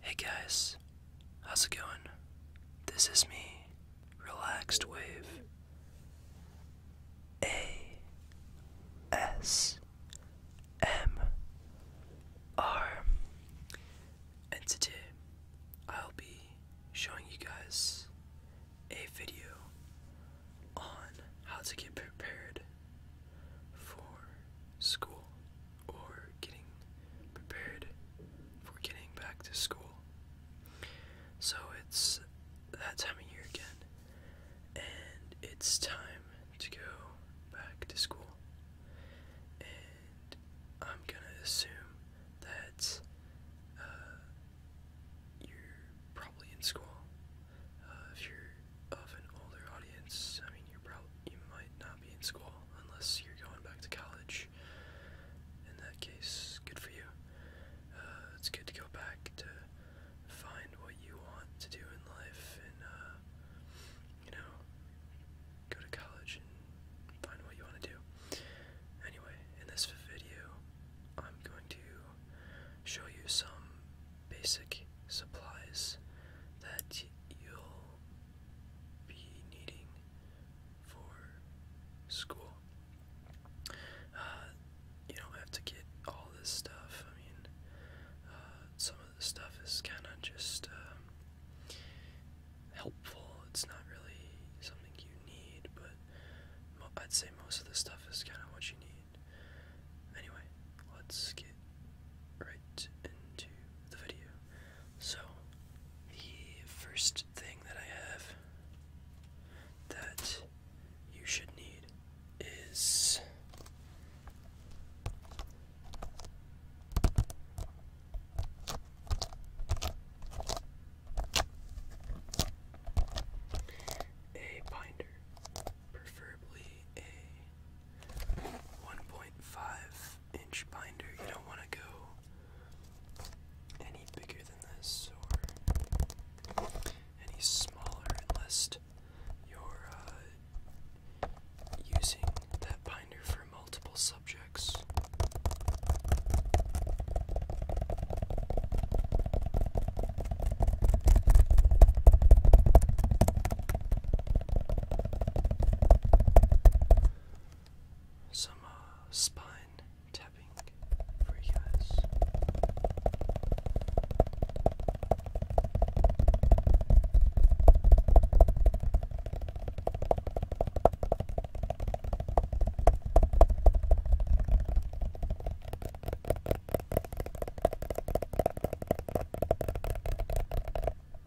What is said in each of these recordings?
Hey guys, how's it going? This is me, Relaxed Wave. A S M R. And today I'll be showing you guys a video on how to get prepared for school or getting prepared for getting back to school. So it's that time of year again, and it's time to go back to school. And I'm gonna assume that uh, you're probably in school. Uh, if you're of an older audience. I mean, you're probably you might not be in school unless you're going back to college. In that case, good for you. Uh, it's good to go back to find what you want to do in life, and uh, you know, go to college and find what you want to do. Anyway, in this video, I'm going to show you some basic supplies that you'll be needing for school. Uh, you don't have to get all this stuff. I mean, uh, some of the stuff is kind of just um, helpful. It's not really something you need, but I'd say most of the stuff is kind of what you need. Anyway, let's right into the video. So, the first thing that I have that you should need is a binder, preferably a 1.5 inch binder. You don't want to go any bigger than this or any smaller unless you're uh, using that binder for multiple subjects some uh, spine tapping for you guys.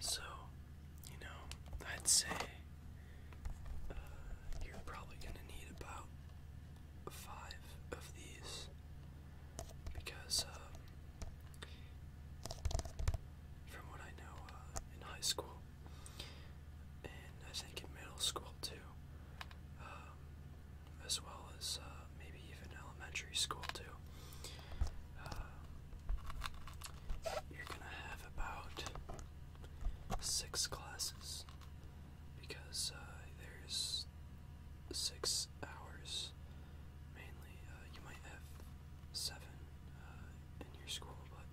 So, you know, I'd say uh, you're probably going to need about five of these because, um, from what I know, uh, in high school, and I think in middle school too, um, as well as uh, maybe even elementary school too. Uh, you're gonna have about six classes because uh, there's six hours mainly. you might have seven in your school, but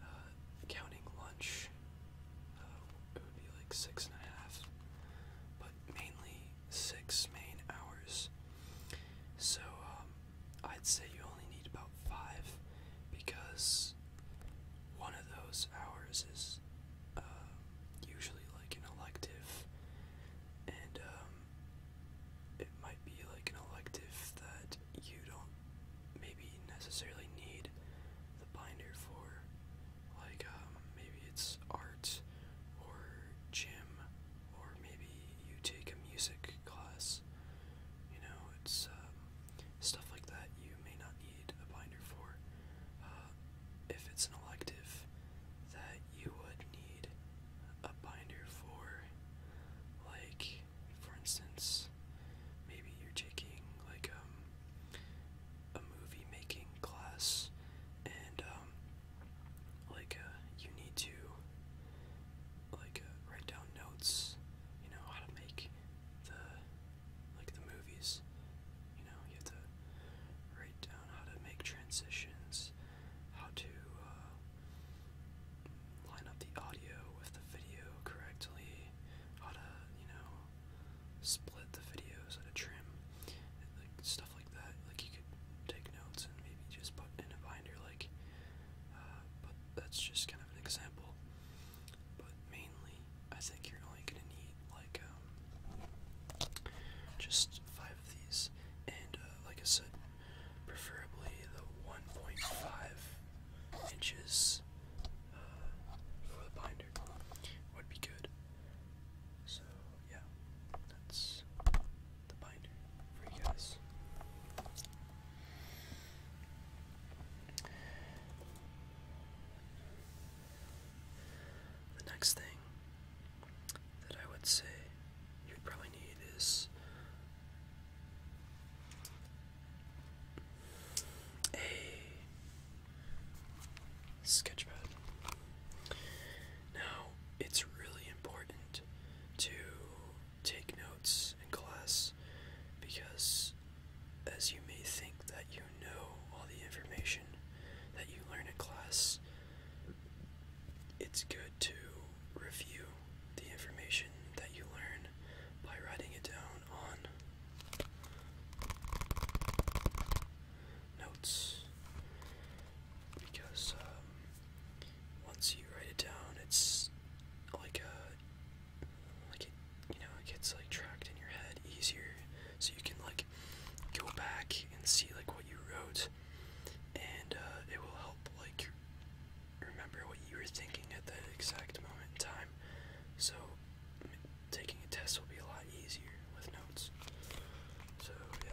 uh, counting lunch, uh, it would be like six and a half, but mainly six main hours. So um, I'd say you only need about five because one of those hours is uh, usually like an elective, and um, it might be like an elective that you don't maybe necessarily need the binder for. Like, um, maybe it's art or gym, or maybe you take a music class. You know, it's um, stuff like that you may not need a binder for. Uh, if it's an elective, that you would need a binder for, like, for instance, maybe you're taking, like, um, a movie making class, and um, like uh, you need to like uh, write down notes, you know how to make the like the movies. You know you have to write down how to make transitions, how to uh, line up the audio with the video correctly, how to you know split the videos and trim, like stuff like that. Like you could take notes and maybe just put in a binder, like. Uh, but that's just kind of an example. But mainly, I think you're only gonna need like um, just five of these, and uh, like I said, preferably the 1.5 inches uh, for the binder would be good. So yeah, that's the binder for you guys. The next thing that I would say you would probably need is a sketchpad. Now, it's really important to take notes in class because as you may think that you know all the information that you learn in class, it's good to review the information that you learn by writing it down on notes because um, once you write it down, it's like a like it you know it gets like tracked in your head easier, so you can like go back and see like what you wrote, and uh, it will help like remember what you were thinking at that exact moment in time. So taking a test will be a lot easier with notes. So, yeah.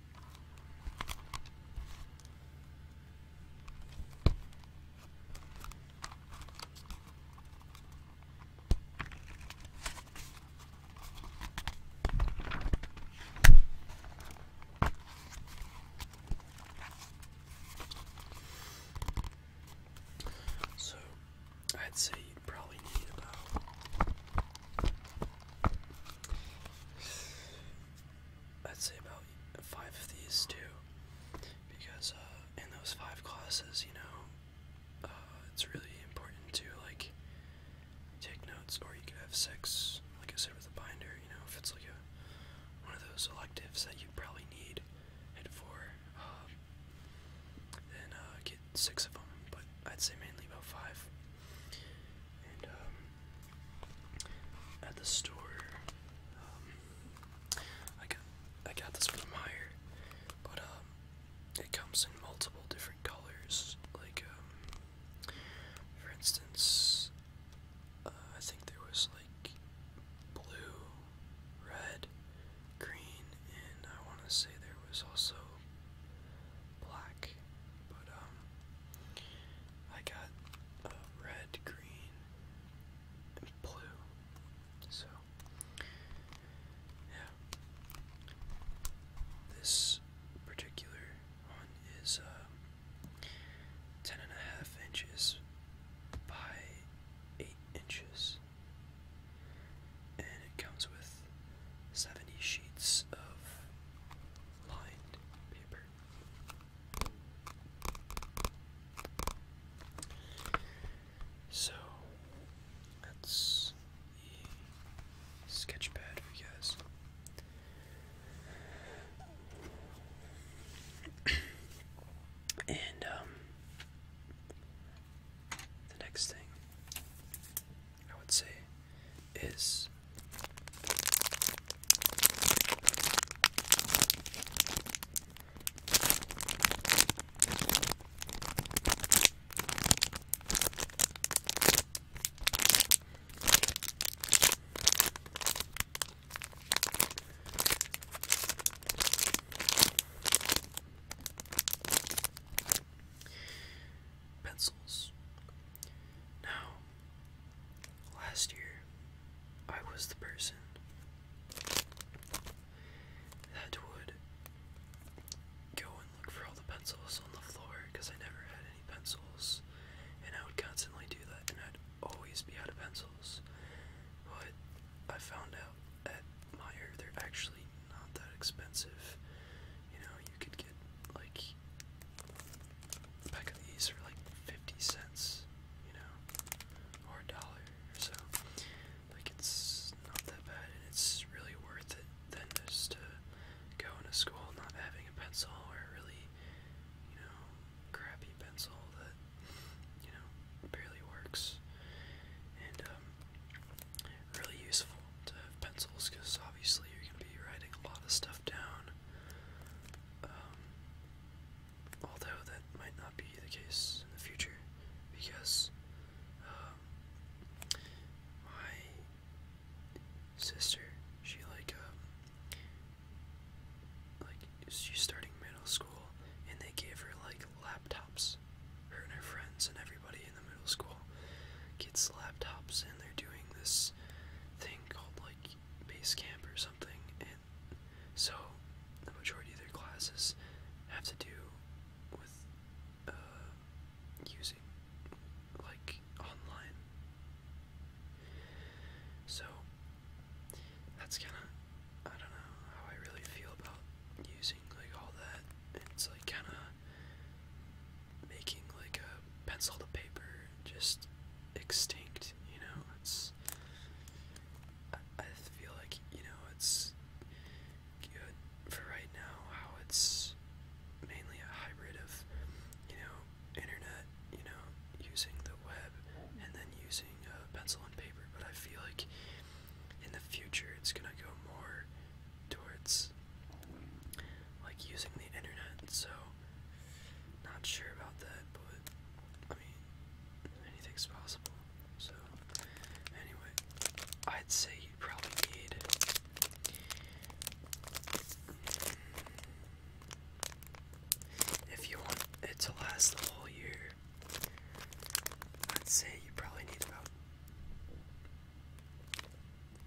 So I'd say you would probably need about I'd say about five of these too, because uh, in those five classes, you know, uh, it's really important to like take notes, or you could have six, like I said with the binder. You know, if it's like a one of those electives that you probably need it for, um, uh, get six of them. But I'd say mainly about five. Um, at the store, um, I got I got this from Meyer, but um, it comes in multiple different colors. Like for instance, uh, I think there was like blue, red, green, and I want to say there was also black, but um, I got uh, red, green, and blue. So yeah, this particular one is uh, ten and a half inches by eight inches, and it comes with seventy sheets of lined paper. So that's the sketch pad for you and um, the next thing I would say is pencils. Now, last year, I was the person that would go and look for all the pencils on the floor because I never had any pencils, and I would constantly do that, and I'd always be out of pencils. But I found out at Meyer they're actually not that expensive. You know, you could get like a pack of these for like 50 cents, you know, or a dollar or so. Like it's not that bad, and it's really worth it than just to go into school not having a pencil or a really, you know, crappy pencil that, you know, barely works. And um, really useful uh, pencils because obviously you're going to be writing a lot of stuff down. Um, although that might not be the case in the future because um, my sister, she like, um, like she's starting middle school and they gave her like laptops, her and her friends and everybody middle school gets laptops and they're doing this thing called like base camp or something and so the majority of their classes have to do with uh, using like online so that's kind of i don't know how i really feel about using like all that it's like kind of making like a pencil to paper just extinct, you know? It's I, feel like, you know, it's good for right now how it's mainly a hybrid of, you know, internet, you know, using the web and then using uh, pencil and paper, but I feel like in the future it's going to go more towards like using the internet, so not sure about that, but I mean, anything's possible. So, anyway, I'd say you probably need if you want it to last the whole year. I'd say you probably need about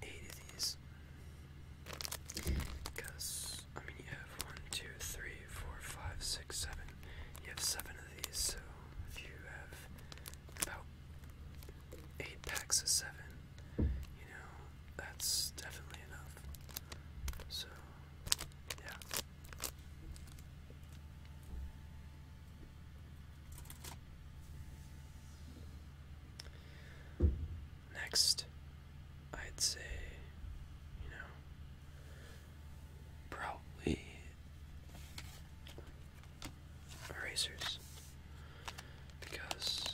eight of these. Because, I mean, you have one, two, three, four, five, six, seven. You have seven of these, so if you have about eight packs of seven, you know, that's definitely enough. So, yeah next I'd say, you know, probably erasers because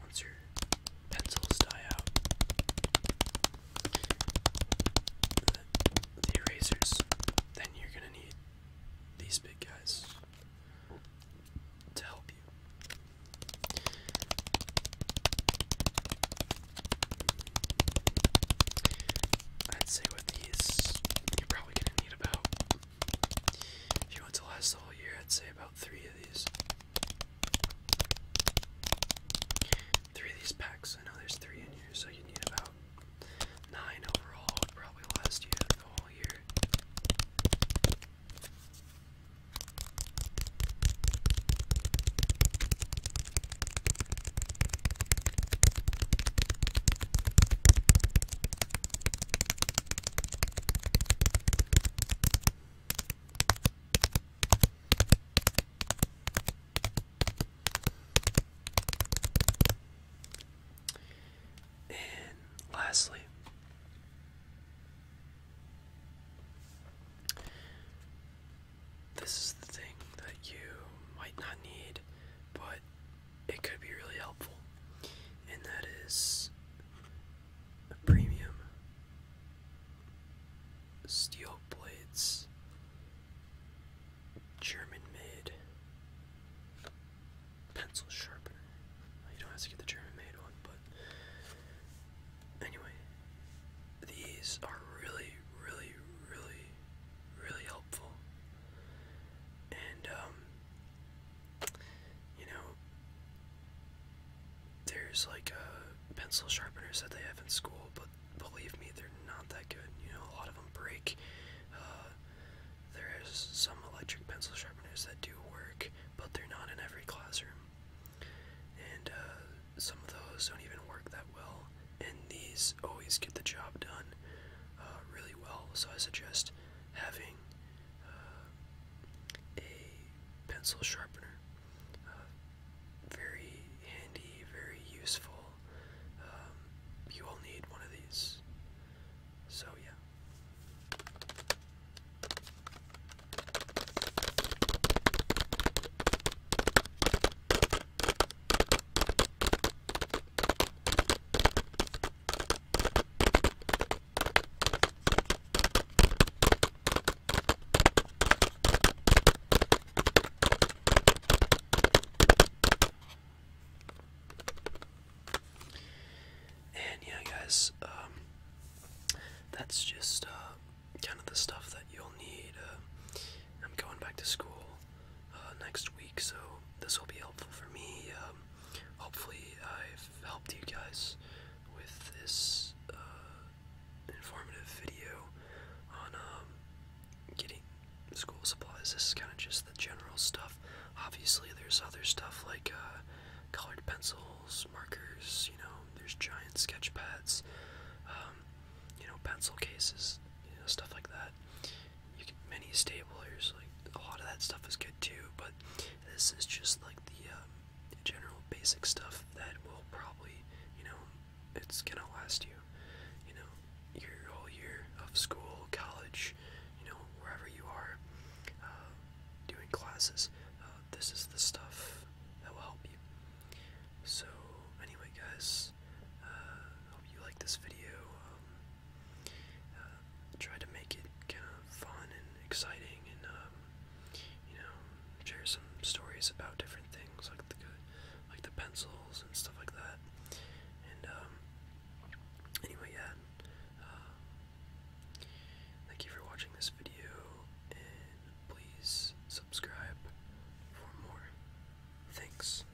once your pencils die out, the, erasers, then you're going to need these big guys to help you. I'd say with these, you're probably going to if you want to last the whole year, I'd say about three of these. Three of these packs. I know there's three in here, so you need about nine overall. Would probably last you the whole year. And lastly, this is the thing that you might not need, but it could be really helpful, and that is a premium steel blades, German made pencil sharpener. You don't have to get the German made one, but anyway, these are really, really, really, really helpful. And, um, you know, there's like a pencil sharpeners that they have in school, but believe me, they're not that good. You know, a lot of them break. Uh, there's some electric pencil sharpeners that do work, but they're not in every classroom. And uh, some of those don't even work that well, and these always get the job done. Uh, really well. So I suggest having uh, a pencil sharpener. Uh, very handy, very useful. Um, you will need one of these. So, yeah. And yeah, guys, um, that's just uh, kind of the stuff that you'll need. Uh, I'm going back to school uh, next week, so this will be helpful for me. Um, hopefully, I've helped you guys with this uh, informative video on um, getting school supplies. This is kind of just the general stuff. Obviously, there's other stuff like uh, colored pencils, markers, you know, there's giant sketch pads, um, you know, pencil cases, you know, stuff like that you get many stabilizers. Like a lot of that stuff is good too, but this is just like the um, general basic stuff that will probably, you know, it's gonna last you, you know, your whole year of school, college, you know, wherever you are uh, doing classes. Uh, this is the stuff that will help you. So anyway, guys, uh, hope you like this video. Um, uh, try to make it kind of fun and exciting, and um, you know, share some stories about different things like the like the pencils and stuff like that. And um, anyway, yeah. Uh, thank you for watching this video, and please subscribe for more. Thanks.